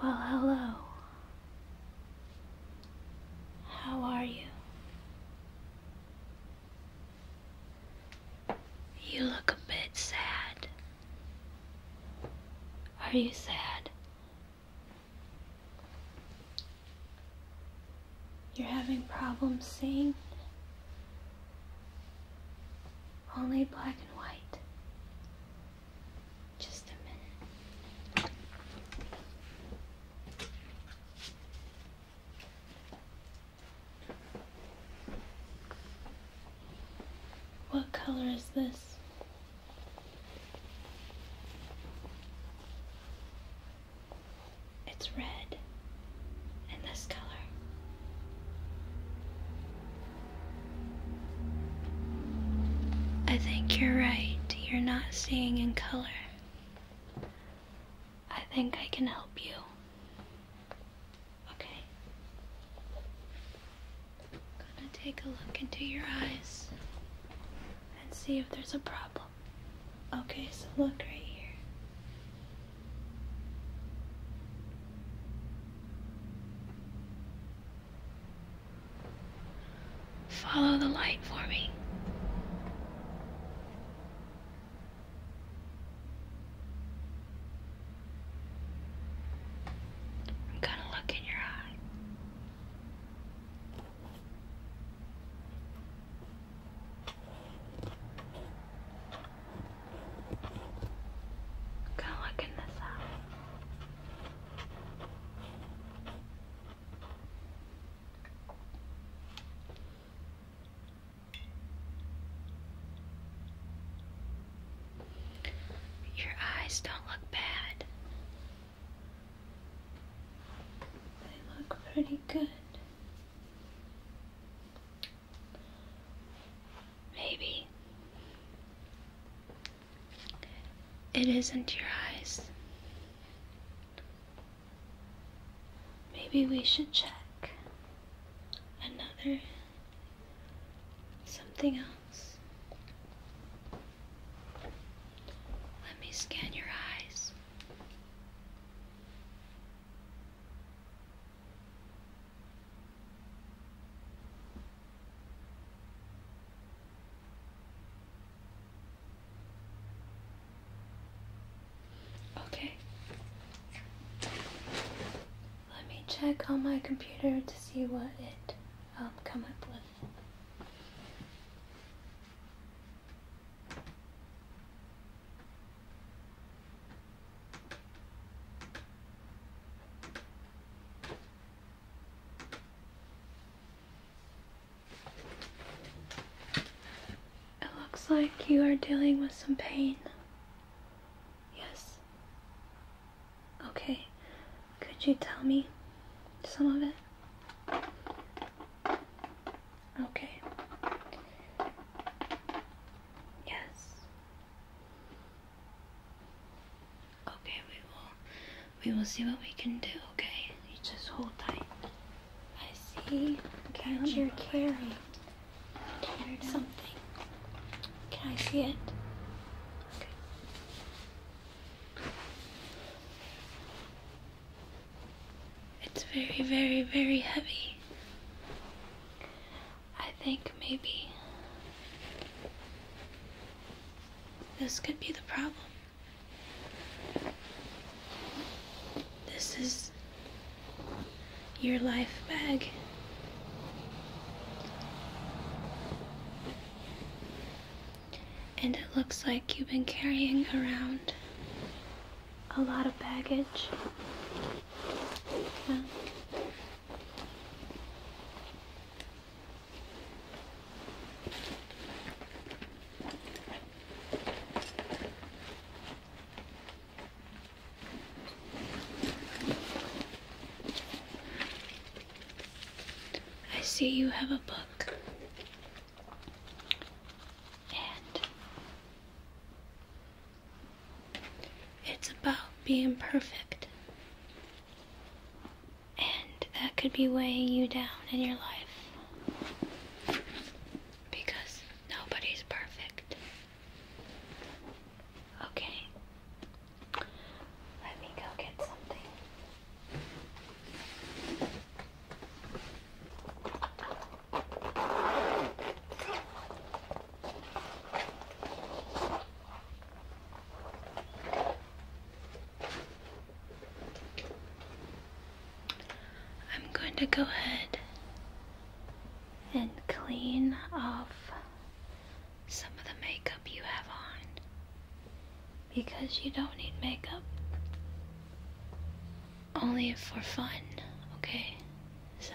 Well, hello. How are you? You look a bit sad. Are you sad? You're having problems seeing only black and white. Just a minute. What color is this? It's red and this color. I think you're right. You're not seeing in color. I think I can help you. Okay. I'm gonna take a look into your eyes and see if there's a problem. Okay, so look right here. Follow the light for me. I'm gonna look in your eye i look in this out. Your eyes don't look bad. They look pretty good. Maybe it isn't your eyes. Maybe we should check another something else. Let me scan your eyes. Okay. Let me check on my computer to see what it um, come up with. It looks like you are dealing with some pain. Yes. Okay. Could you tell me some of it? Okay. Yes. Okay, we will we will see what we can do, okay? You just hold tight. I see. Can you carry? carrying. something. Can I see it? It's very, very, very heavy. I think maybe this could be the problem. This is your life bag and it looks like you've been carrying around a lot of baggage. I see you have a book and it's about being perfect. And that could be weighing you down in your life. Because nobody's perfect. Okay. Let me go get something. I'm going to go ahead and clean off some of the makeup you have on because you don't need makeup. Only for fun, okay? So.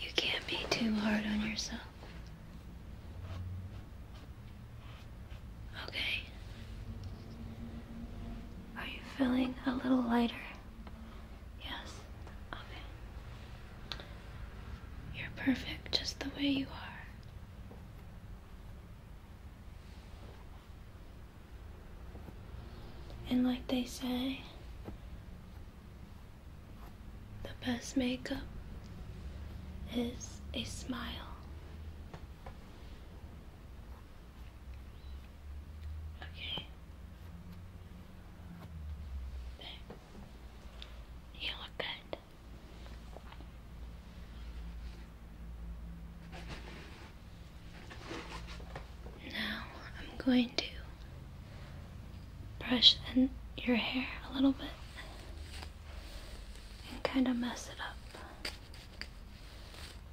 You can't be too hard on yourself. Okay. Are you feeling a little lighter? Yes? Okay. You're perfect just the way you are. And like they say, the best makeup is a smile. Okay. You look good. Now I'm going to brush in your hair a little bit and kind of mess it up.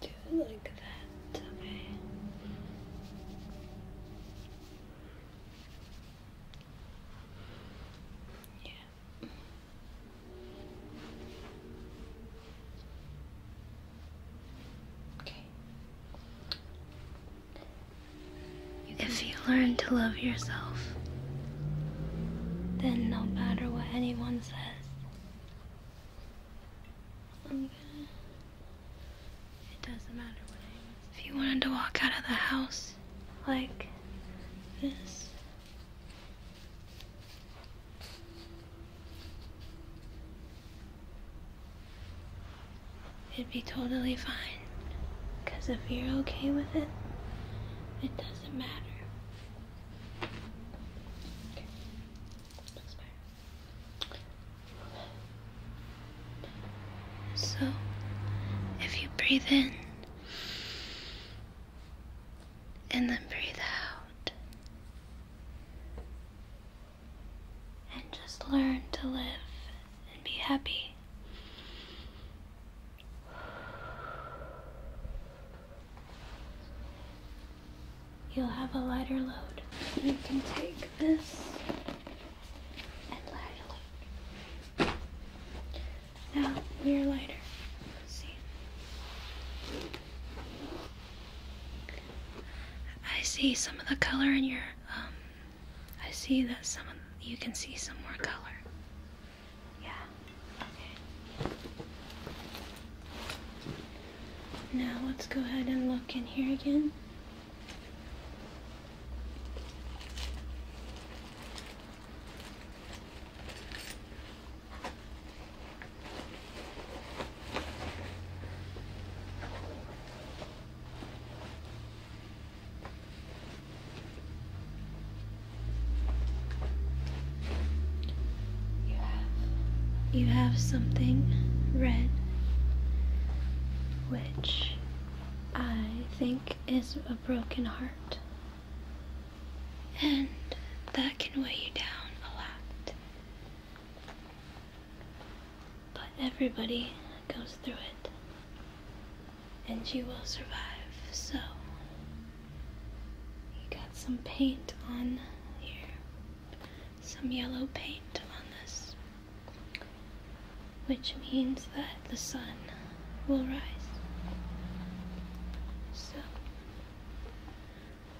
do it like that, okay? Yeah. Okay. If you learn to love yourself, then no matter what anyone says, i it doesn't matter If you wanted to walk out of the house like this, it'd be totally fine. Because if you're okay with it, it doesn't matter. So, if you breathe in and then breathe out, and just learn to live and be happy you'll have a lighter load. You can take this and lighter load. Now we're lighter. see. I see some of the color in your um, I see that some of, you can see some more color. Yeah. Okay. Now let's go ahead and look in here again. You have something red which I think is a broken heart. And that can weigh you down a lot. But everybody goes through it, and you will survive. So, you got some paint on here some yellow paint on this, which means that the sun will rise. So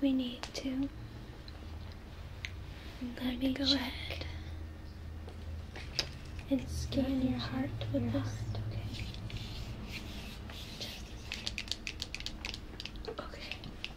we need to let me go ahead and scan your heart with this. this. Okay.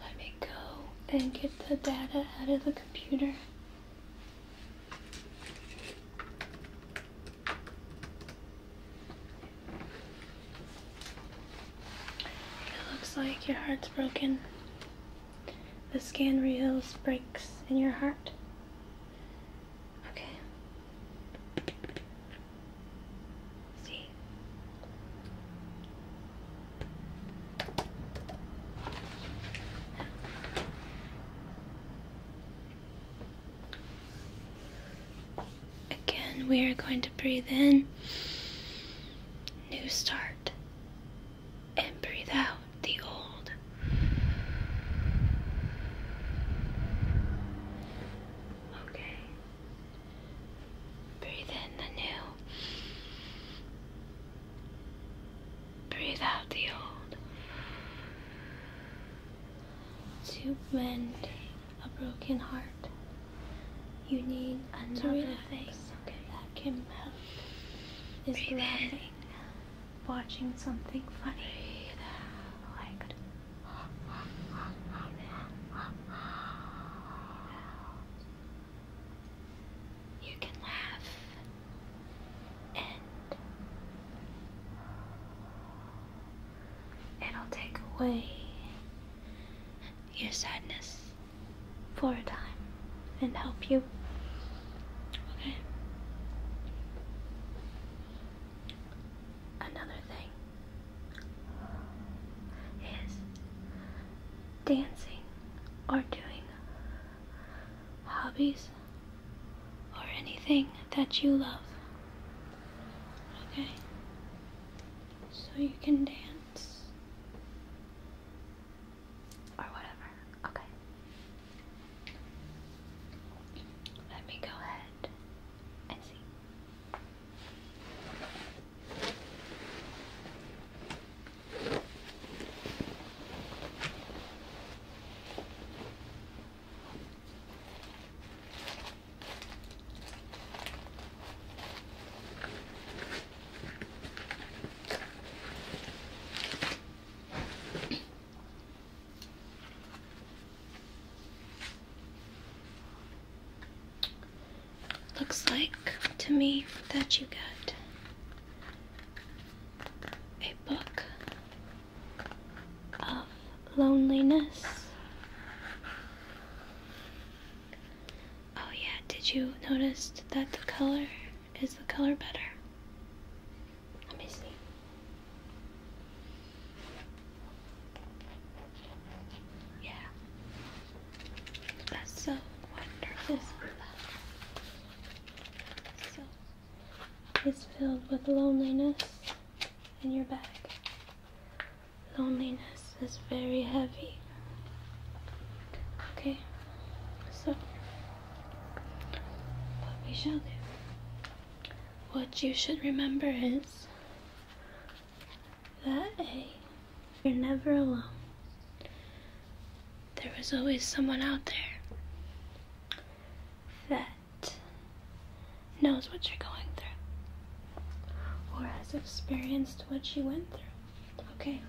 Let me go and get the data out of the computer. It looks like your heart's broken. The scan reveals breaks in your heart. Okay. See. Again, we are going to breathe in, new start, and breathe out the old. Okay. Breathe in the new. Breathe out the old. To mend a broken heart, you need another face that can help. breathe in watching something funny like you can laugh and it'll take away your sadness for a time and help you. Okay. Another thing is dancing or doing hobbies or anything that you love. Okay? So you can dance or whatever. Okay. Let me go ahead and see. Looks like to me that you got a book of loneliness. Oh, yeah, did you notice that the color is the color better? I'm busy. Yeah. That's so wonderful. So it's filled with loneliness in your bag. Loneliness is very heavy. Okay, so what we shall do what you should remember is that you're never alone. There is always someone out there that knows what you're going through or has experienced what you went through. Okay?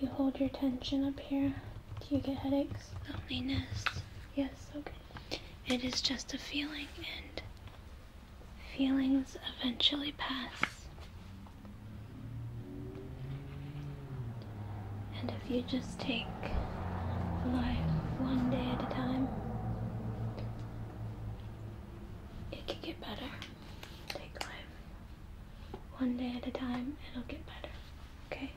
You hold your tension up here. Do you get headaches? Loneliness. Yes, okay. It is just a feeling, and feelings eventually pass. And if you just take life one day at a time, it could get better. Take life one day at a time, it'll get better, okay? okay.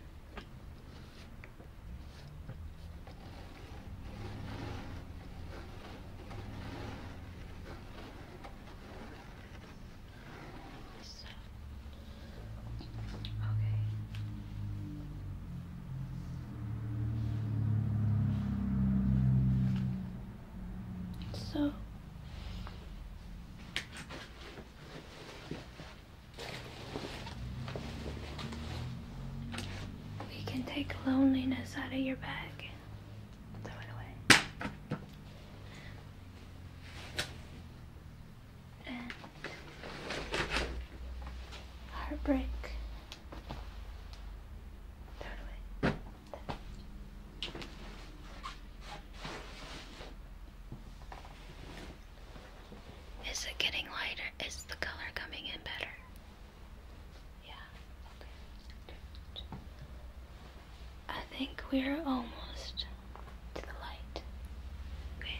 So we can take loneliness out of your bag. Throw it away. And heartbreak. Throw it away. Is it getting lighter? Is the color coming in better? Yeah, I think we're almost to the light. Okay.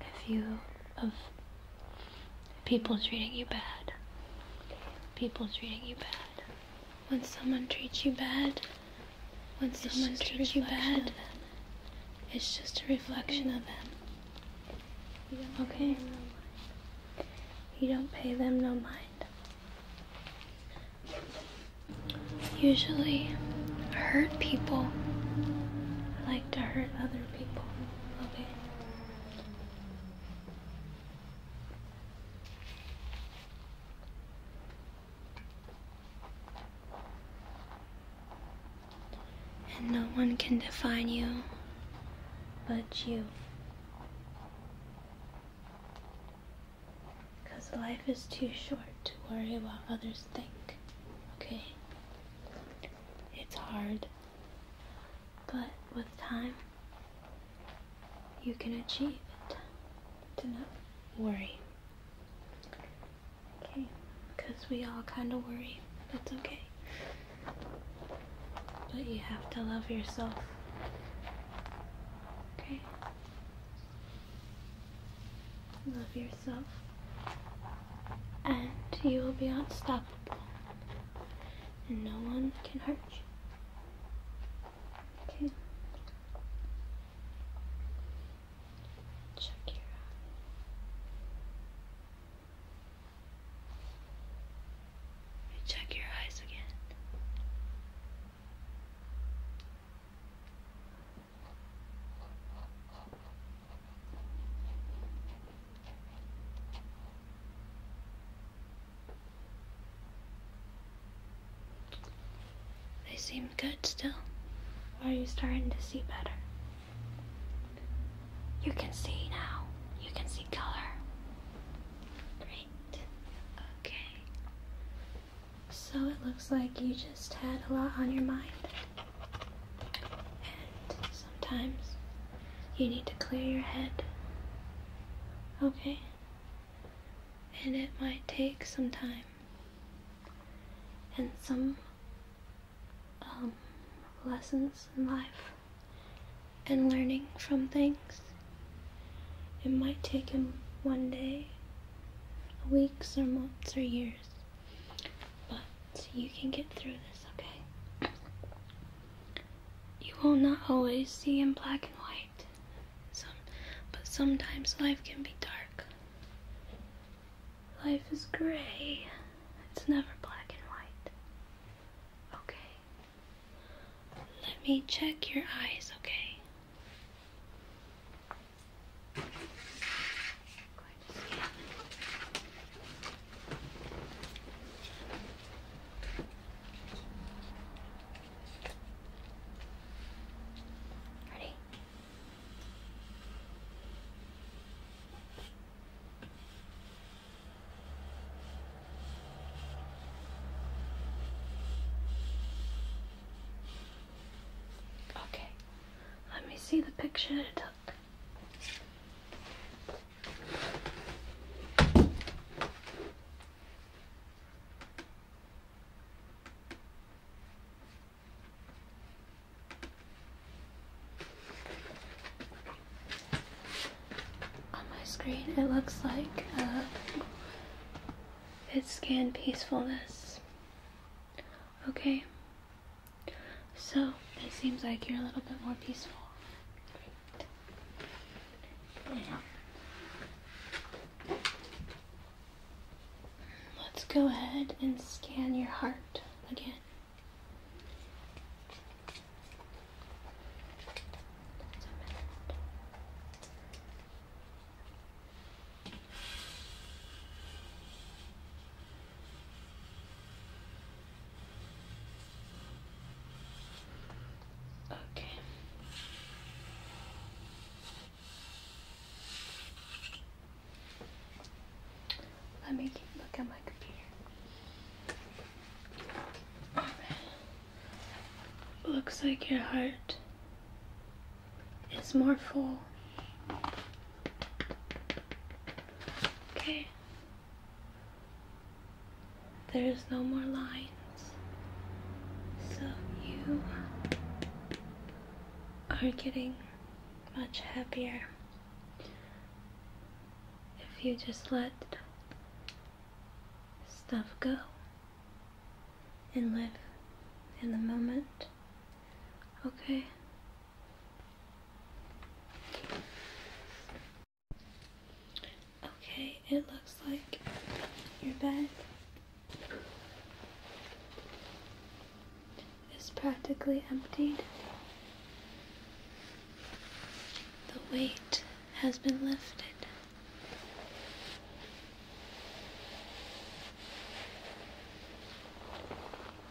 a view of people treating you bad. People treating you bad. When someone treats you bad, when someone treats you bad, it's just a reflection of them. okay? You don't pay them no mind. Usually, hurt people I like to hurt other people, okay? And no one can define you but you. Because life is too short to worry about others think, okay? It's hard. But with time, you can achieve it. Do not worry. Okay? Because we all kind of worry. That's okay. But you have to love yourself. Okay? Love yourself. And you will be unstoppable. And no one can hurt you. Okay. Check your eye. Check your eyes again. They seem good still. are you starting to see better? You can see now. You can see color. Great. Okay. So it looks like you just had a lot on your mind sometimes you need to clear your head. Okay? And it might take some time and some um, lessons in life and learning from things. It might take him one day, weeks, or months, or years. But you can get through this, okay? You will not always see in black and white. Some, but sometimes life can be dark. Life is gray. It's never black and white. Okay. Let me check your eyes, okay? Ready? Okay, let me see the picture you took. On my screen, it looks like uh, it's scanned peacefulness. Okay, so it seems like you're a little bit more peaceful. Let's go ahead and scan your heart again. Okay. Let me look at my computer. Looks like your heart is more full. Okay. There's no more lines. So you are getting much happier if you just let stuff go and live in the moment. Okay? Okay, it looks like your bed is practically emptied. The weight has been lifted.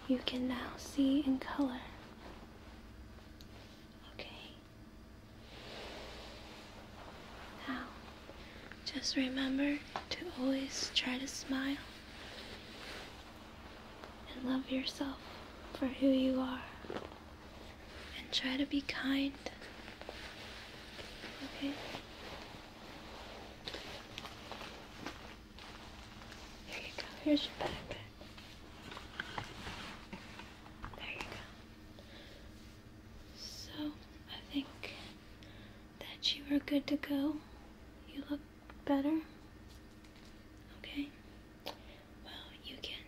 You can now see in color. Okay. Now, just remember to always try to smile and love yourself for who you are. And try to be kind. Okay? There you go. Here's your backpack. There you go. So, I think that you are good to go. You look better. Okay? Well, you can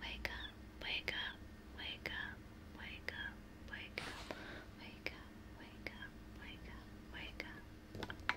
wake up, wake up, wake up, wake up, wake up, wake up, wake up, wake up, wake up.